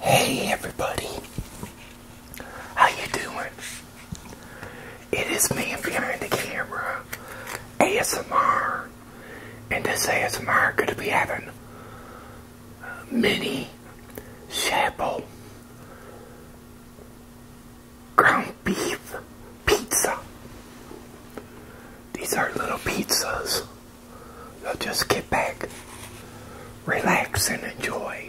Hey everybody, how you doing? It is me behind the camera, ASMR, and this ASMR going to be having mini shabu ground beef pizza. These are little pizzas You'll just get back, relax, and enjoy.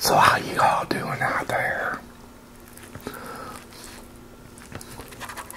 So how you all doing out there?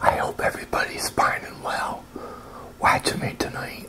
I hope everybody's fine and well Watch me tonight.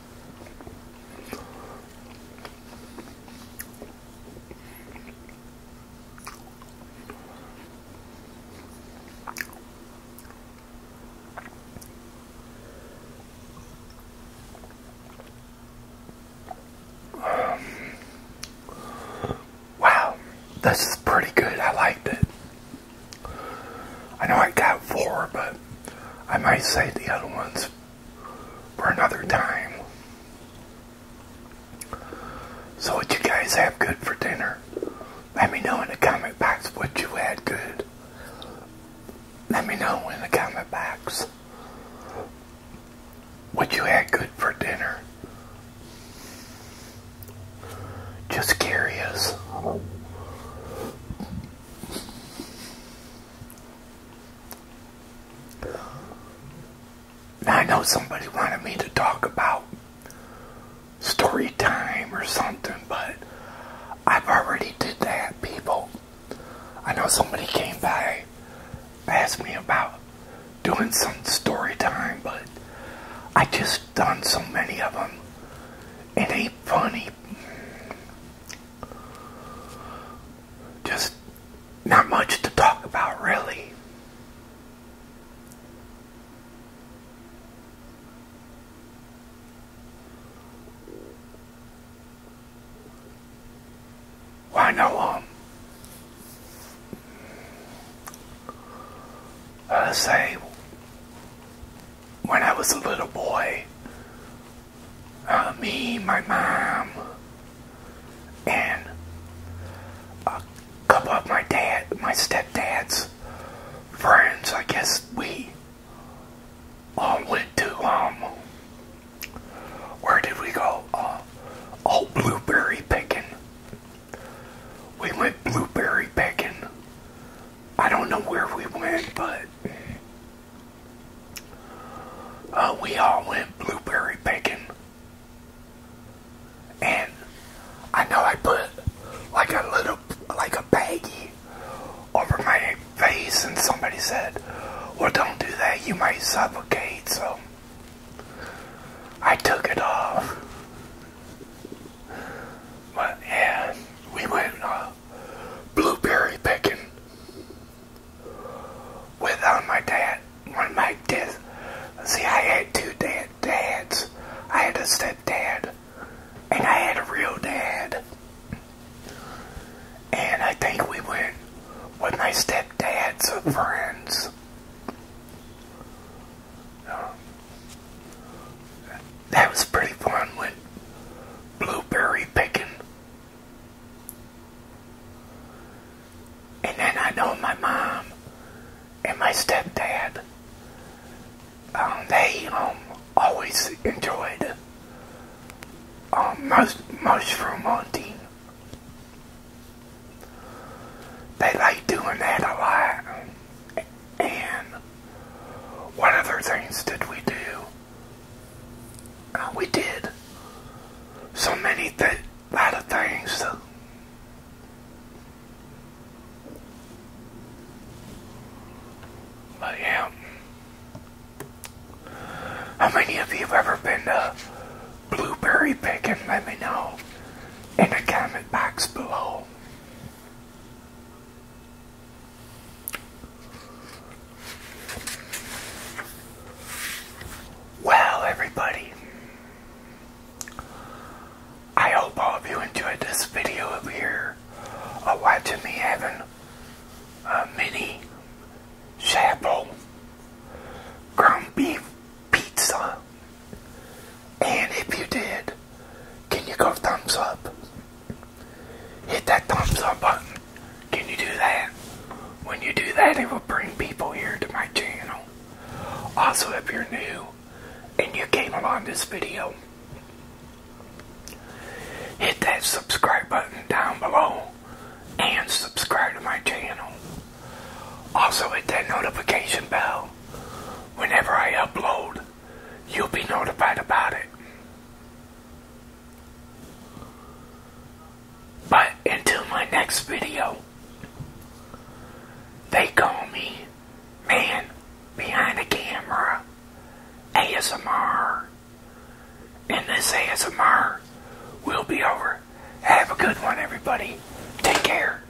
Wow, this pretty good. I liked it. I know I got four, but I might say the other one's for another time. So what you guys have good for dinner? Let me know in the comment box what you had good. Let me know in the comment box what you had good for dinner. Just curious. I know somebody wanted me to talk about story time or something, but I've already did that, people. I know somebody came by, asked me about doing some story time, but I just done so many of them. It ain't funny just not much to talk about, really. Why no know, um, say when I was a little boy, uh, me, my mom, and a couple of my dad, my stepdad's friends. I guess we went to um, where did we go? Uh, oh, blueberry picking. We went blueberry picking. I don't know where we went, but uh, we all went blueberry picking. And I know I put like a little, like a baggie over my face, and somebody said, Well, don't do that, you might suffocate. So I took it off. But yeah, we went uh, blueberry picking with my dad one my dad see I had two dad dads I had a stepdad and I had a real dad and I think we went with my stepdad's friends that was pretty fun with blueberry picking and then I know my mom and my stepdad, um, they um, always enjoyed um, mus mushroom hunting. They like doing that a lot. And what other things did we do? we did so many th lot of things to but yeah how many of you ever been to blueberry picking let me know in the comment box below well, everybody, I hope all of you enjoyed this video of a uh, watching me having a mini chapel ground beef pizza. And if you did, can you go thumbs up? Hit that thumbs up button. Can you do that? When you do that, it will bring people here to my channel. Also, if you're new and you came along this video, hit that subscribe button down below and subscribe to my channel. Also, hit that notification bell. Whenever I upload, you'll be notified about it. But until my next video, they call me Man Behind the Camera ASMR. And this ASMR will be over. Have a good one, everybody. Take care,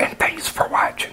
and thanks for watching.